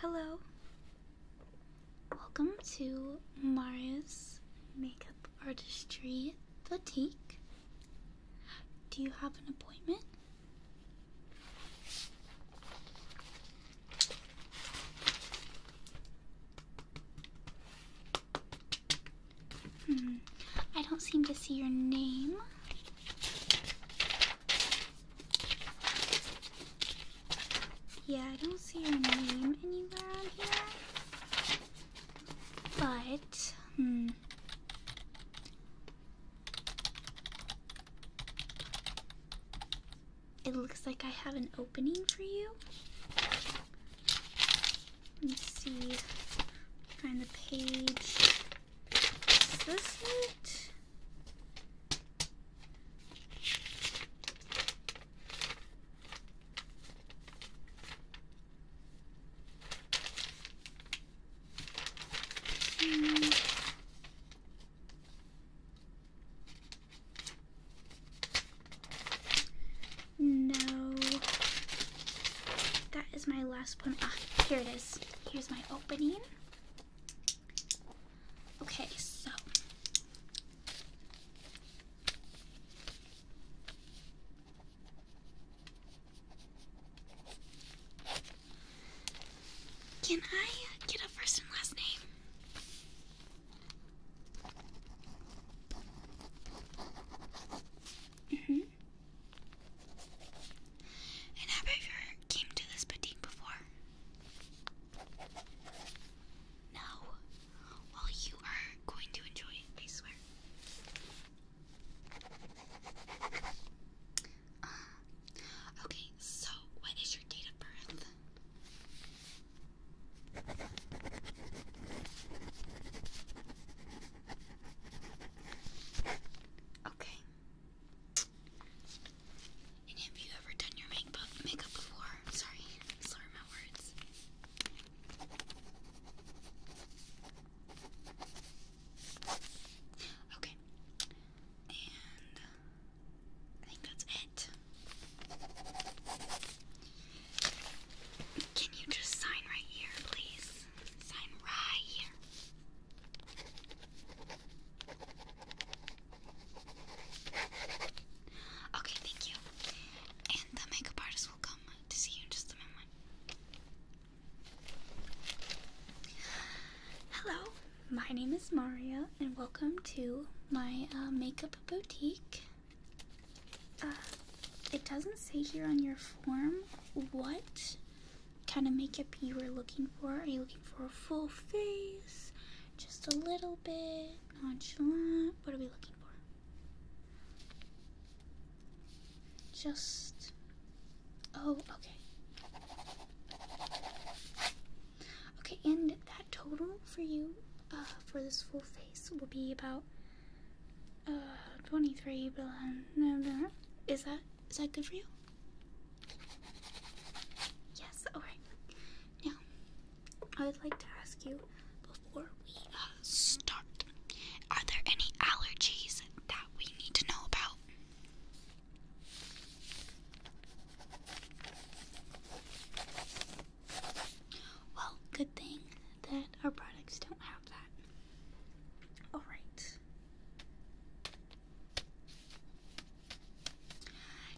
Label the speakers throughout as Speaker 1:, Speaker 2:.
Speaker 1: Hello. Welcome to Mario's Makeup Artistry Boutique. Do you have an appointment? Hmm. I don't seem to see your name. Yeah, I don't see your name anywhere on here. But, hmm. It looks like I have an opening for you. let me see. Find the page. Is this it? No. That is my last one. Ah, here it is. Here's my opening. Okay, so can I get a first and last name? hmm And have you ever came to this boutique before? No. Well, you are going to enjoy I swear. Uh, okay, so what is your date of birth? Okay have you ever done your makeup before? Sorry, slur my words. Okay. And I think that's it. Can you just sign right here, please? Sign right here. Okay, thank you. And the makeup artist will come to see you in just a moment. Hello, my name is Maria, and welcome to my uh, makeup boutique. Uh, it doesn't say here on your form what kind of makeup you are looking for. Are you looking for a full face? just a little bit nonchalant. What are we looking for? Just oh, okay. Okay, and that total for you uh, for this full face will be about uh 23 billion. Is that is that good for you? Yes, alright. Now, I would like to ask you before we uh, start are there any allergies that we need to know about? Well, good thing that our products don't have that. Alright.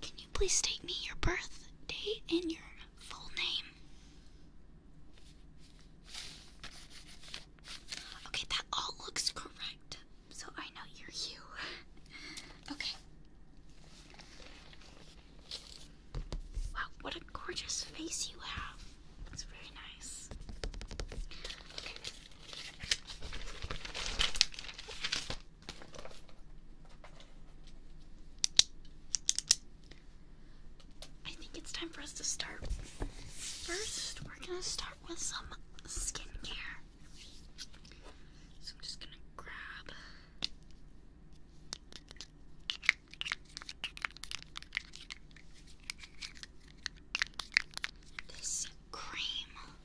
Speaker 1: Can you please state me your birth date and your full name? Okay, that all looks correct. So I know you're you. okay. Wow, what a gorgeous face you have. It's very nice. I think it's time for us to start. First, we're gonna start with some skincare. So I'm just gonna grab. This cream.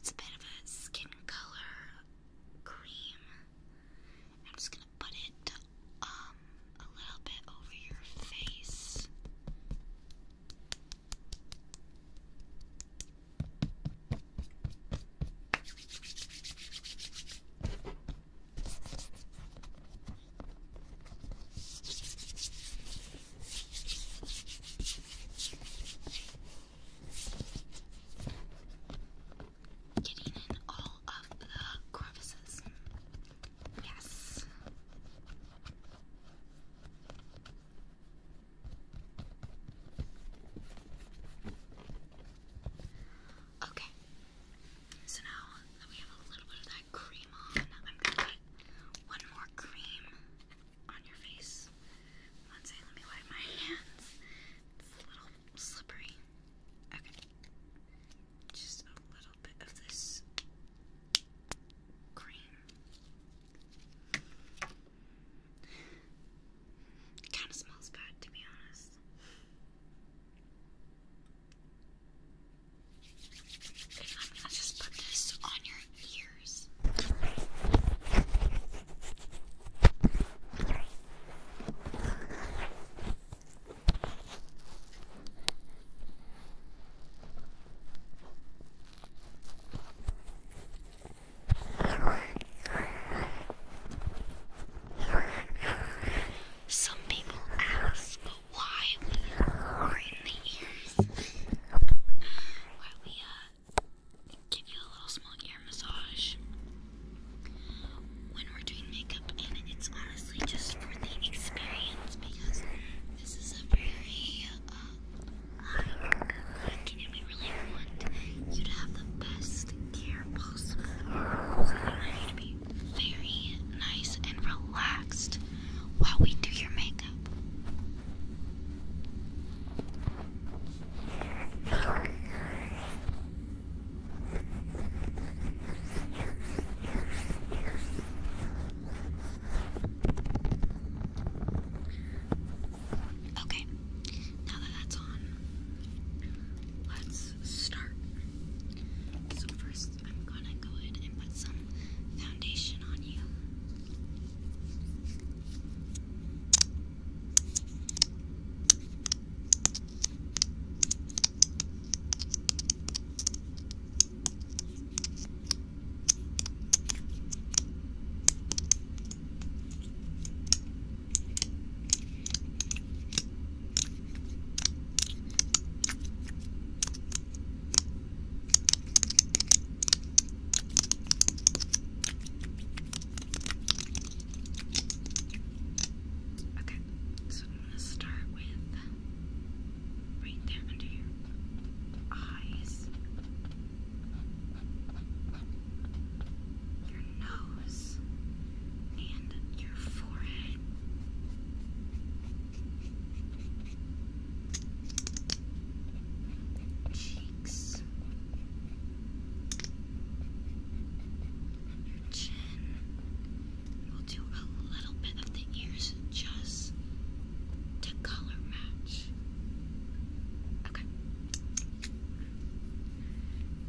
Speaker 1: It's a bit of a skin color cream. I'm just gonna put it um a little bit over your face. Getting in all of the crevices. Yes. Okay. So now that we have a little bit of that cream on, I'm gonna put one more cream on your face. let me wipe my hands. It's a little slippery. Okay. Just a little bit of this cream. It kind of smells bad, to be honest. I'm just put this on your ears. Some people ask why we ring the ears. Why we uh, give you a little small ear massage when we're doing makeup, and it's honestly just for the experience because this is a very uh, I we really want you to have the best care possible? I want to be very nice and relaxed while we do your makeup. Okay, now that that's on, let's start. So, first, I'm gonna go ahead and put some foundation on you. Okay, so I'm going to start with right there under your eyes your nose, and your forehead. Cheeks, your chin. We'll do a little bit of the ears just to color match. Okay.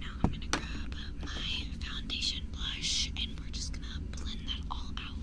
Speaker 1: Now I'm gonna grab my foundation blush and we're just gonna blend that all out.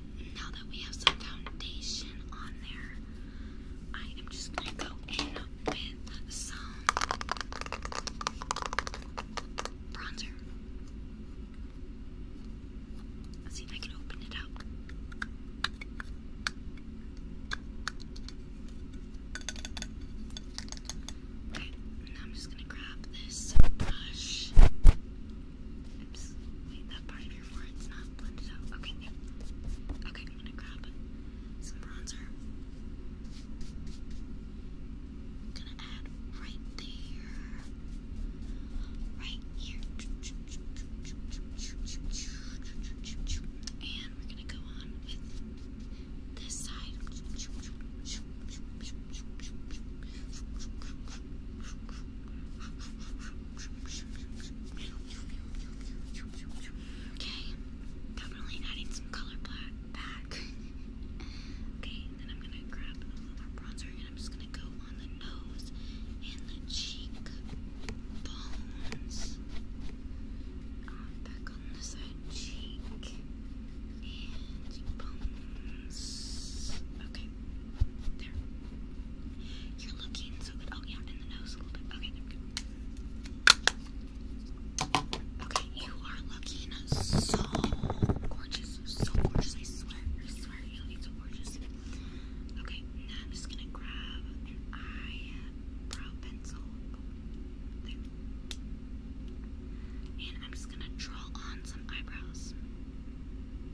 Speaker 1: now that we have some foundation on there, I am just going to go in with some bronzer. Let's see if I can open it up. Okay, now I'm just gonna grab this brush Oops. Wait, that part of your forehead's not blended out. Okay, Okay, I'm gonna grab some bronzer. I'm gonna add right there. Right here. And we're gonna go on with this side. Okay, definitely adding some color back. okay, then I'm gonna grab a little more bronzer and I'm just gonna go on the nose and the cheek uh, back on the side cheek and bones. Okay. There. You're looking so good. Oh, yeah, in the nose a little bit. Okay, there we go. Okay, you are looking so gorgeous. So gorgeous, I swear. I swear you're so gorgeous. Okay, now I'm just gonna grab an eyebrow pencil. And I'm just gonna draw on some eyebrows.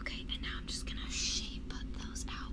Speaker 1: Okay, and now I'm just going to shape those out.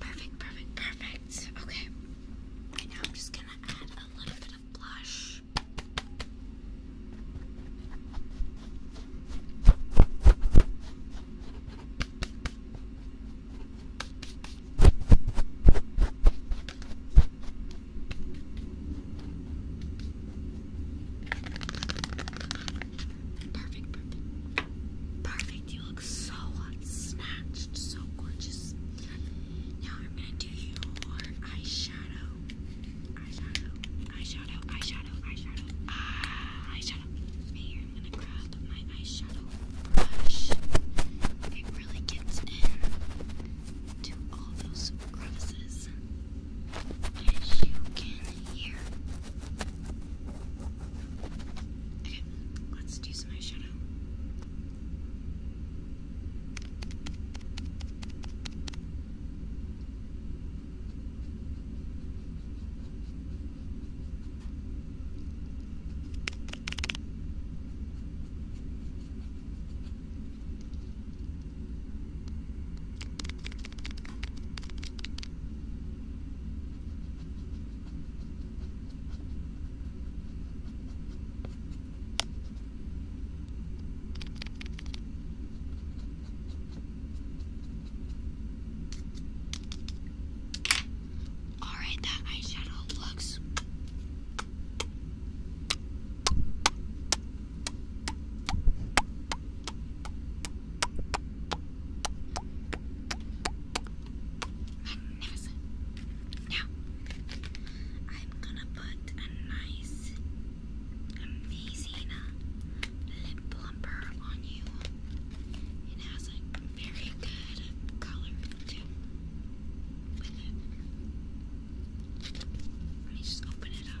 Speaker 1: Perfect, perfect, perfect. Okay. Right now I'm just gonna add a little bit of blush. Perfect, perfect. Perfect, you look so hot, snatched, so gorgeous. Now I'm gonna do your eyeshadow. Eyeshadow, eyeshadow, eyeshadow, eyeshadow. Ah, eyeshadow. here, I'm gonna grab my eyeshadow brush. It really gets in all those crevices. As you can hear. Okay, let's do some eyeshadow. Alright, that eyeshadow looks. Magnificent. Now, I'm gonna put a nice, amazing lip plumper on you. It has a very good color too. Let me just open it up.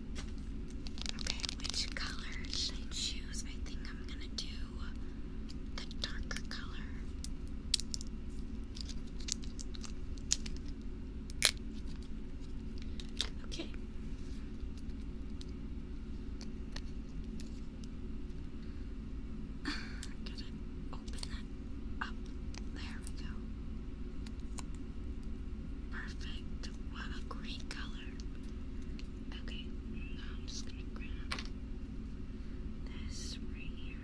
Speaker 1: Okay, which color should I choose? I think I'm gonna do the darker color. Okay. Gotta open that up. There we go. Perfect. What a great color. Okay, now I'm just gonna grab this right here.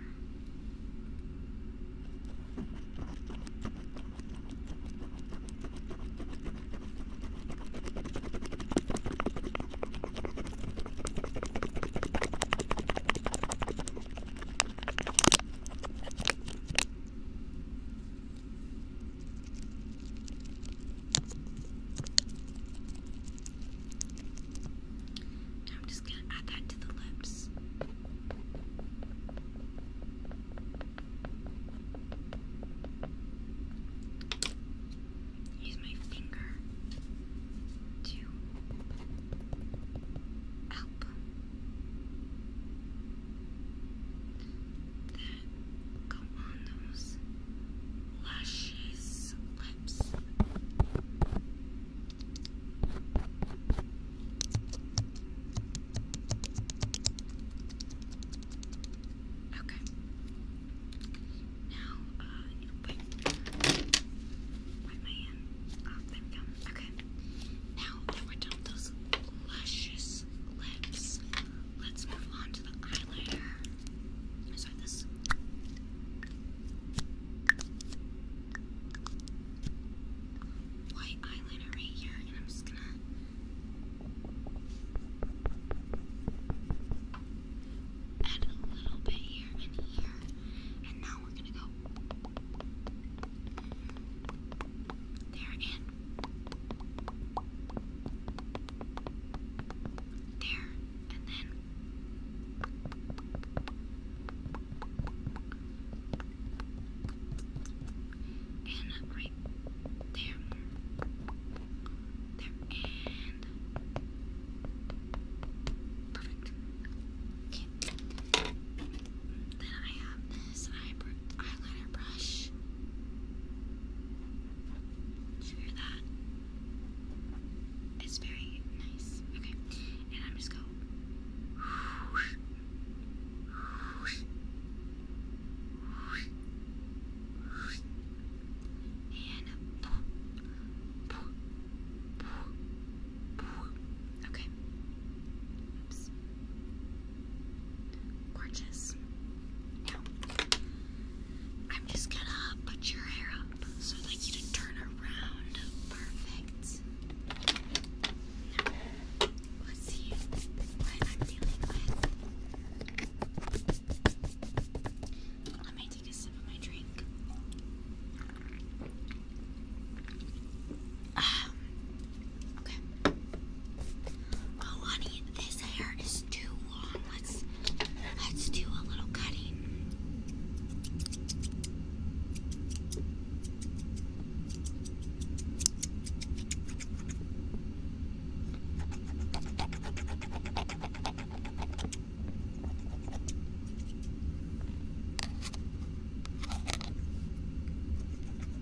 Speaker 1: I'm just going to add that to the lips. Use my finger to help the go on those lashes, lips. Okay. Now, uh, wait. Wipe my hand off. There we go. Okay. Now that we're done with those luscious lips. Let's move on to the eyeliner. So this. White eyeliner right here, and I'm just gonna add a little bit here and here, and now we're gonna go there and there, and then. And right there. There, and. Perfect. Okay. Then I have this eyeliner brush. Did you hear that? It's very nice. Okay, and I'm just go. Okay. Oops. Gorgeous. Now, I'm just gonna put your hair up so I'd like you to turn around. Perfect. Now, let's see what I'm dealing with. Let me take a sip of my drink. Ah, Oh, honey, this hair is too long. Let's let's do a little cutting.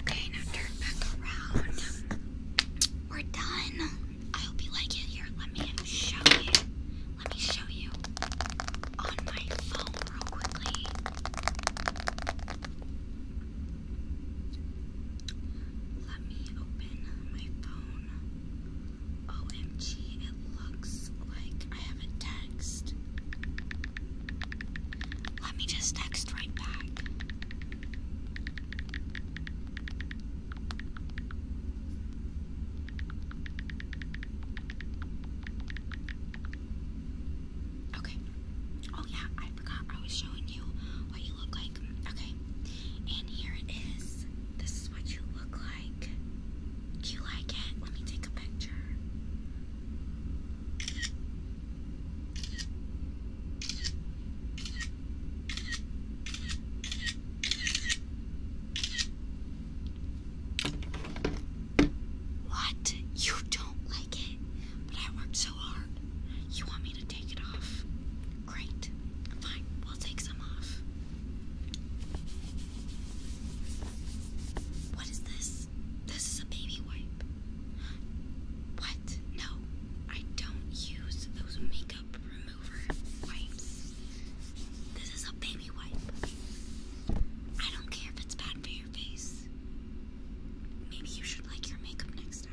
Speaker 1: Okay, now turn back around. We're done. I hope you like it. Here, let me show you. Let me show you on my phone real quickly. Let me open my phone. OMG, it looks like I have a text. Let me just text right back. Okay. Oh, yeah, I forgot I was showing you what you look like. Okay. And here it is. This is what you look like. Do you like it? Let me take a picture. What? You don't like it? But I worked so hard. You want me to take it off? Great. Fine, we'll take some off. What is this? This is a baby wipe. What? No, I don't use those makeup remover wipes. This is a baby wipe. I don't care if it's bad for your face. Maybe you should like your makeup next time.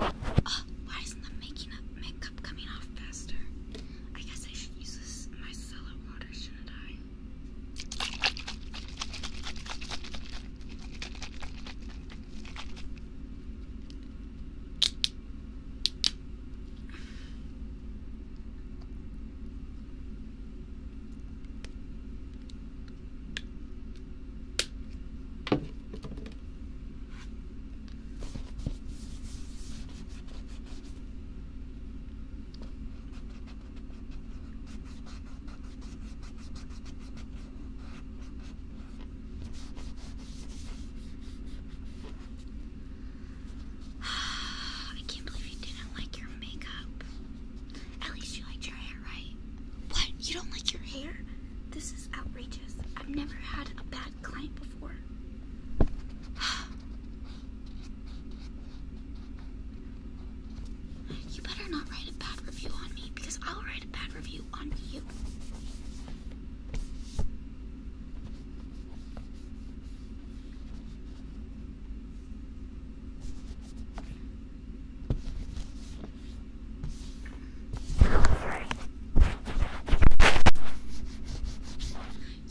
Speaker 1: Oh, why isn't the making up makeup coming off faster? I guess I should use this micellar water, shouldn't I? I can't believe you didn't like your makeup. At least you liked your hair, right? What? You don't like your hair? This is outrageous. I've never had a bad client before. you better not write a bad review on me because I'll write a bad review on you.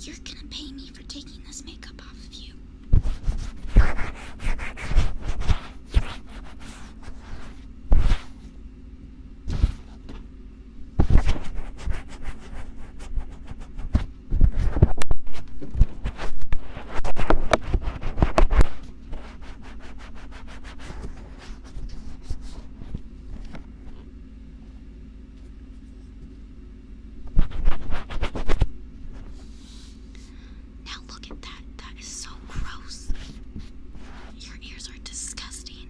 Speaker 1: You're gonna pay me for taking this makeup off of you. Now look at that. That is so gross. Your ears are disgusting.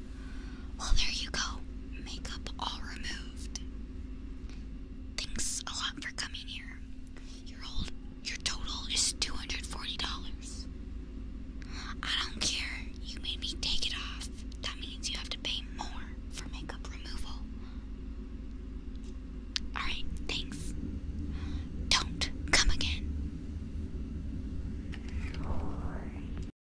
Speaker 1: Well, there you go. Makeup all removed. Thanks a lot for coming here. Your old, your total is two hundred forty dollars. I don't care. You made me take it off. That means you have to pay more for makeup removal. Alright, thanks. Don't come again.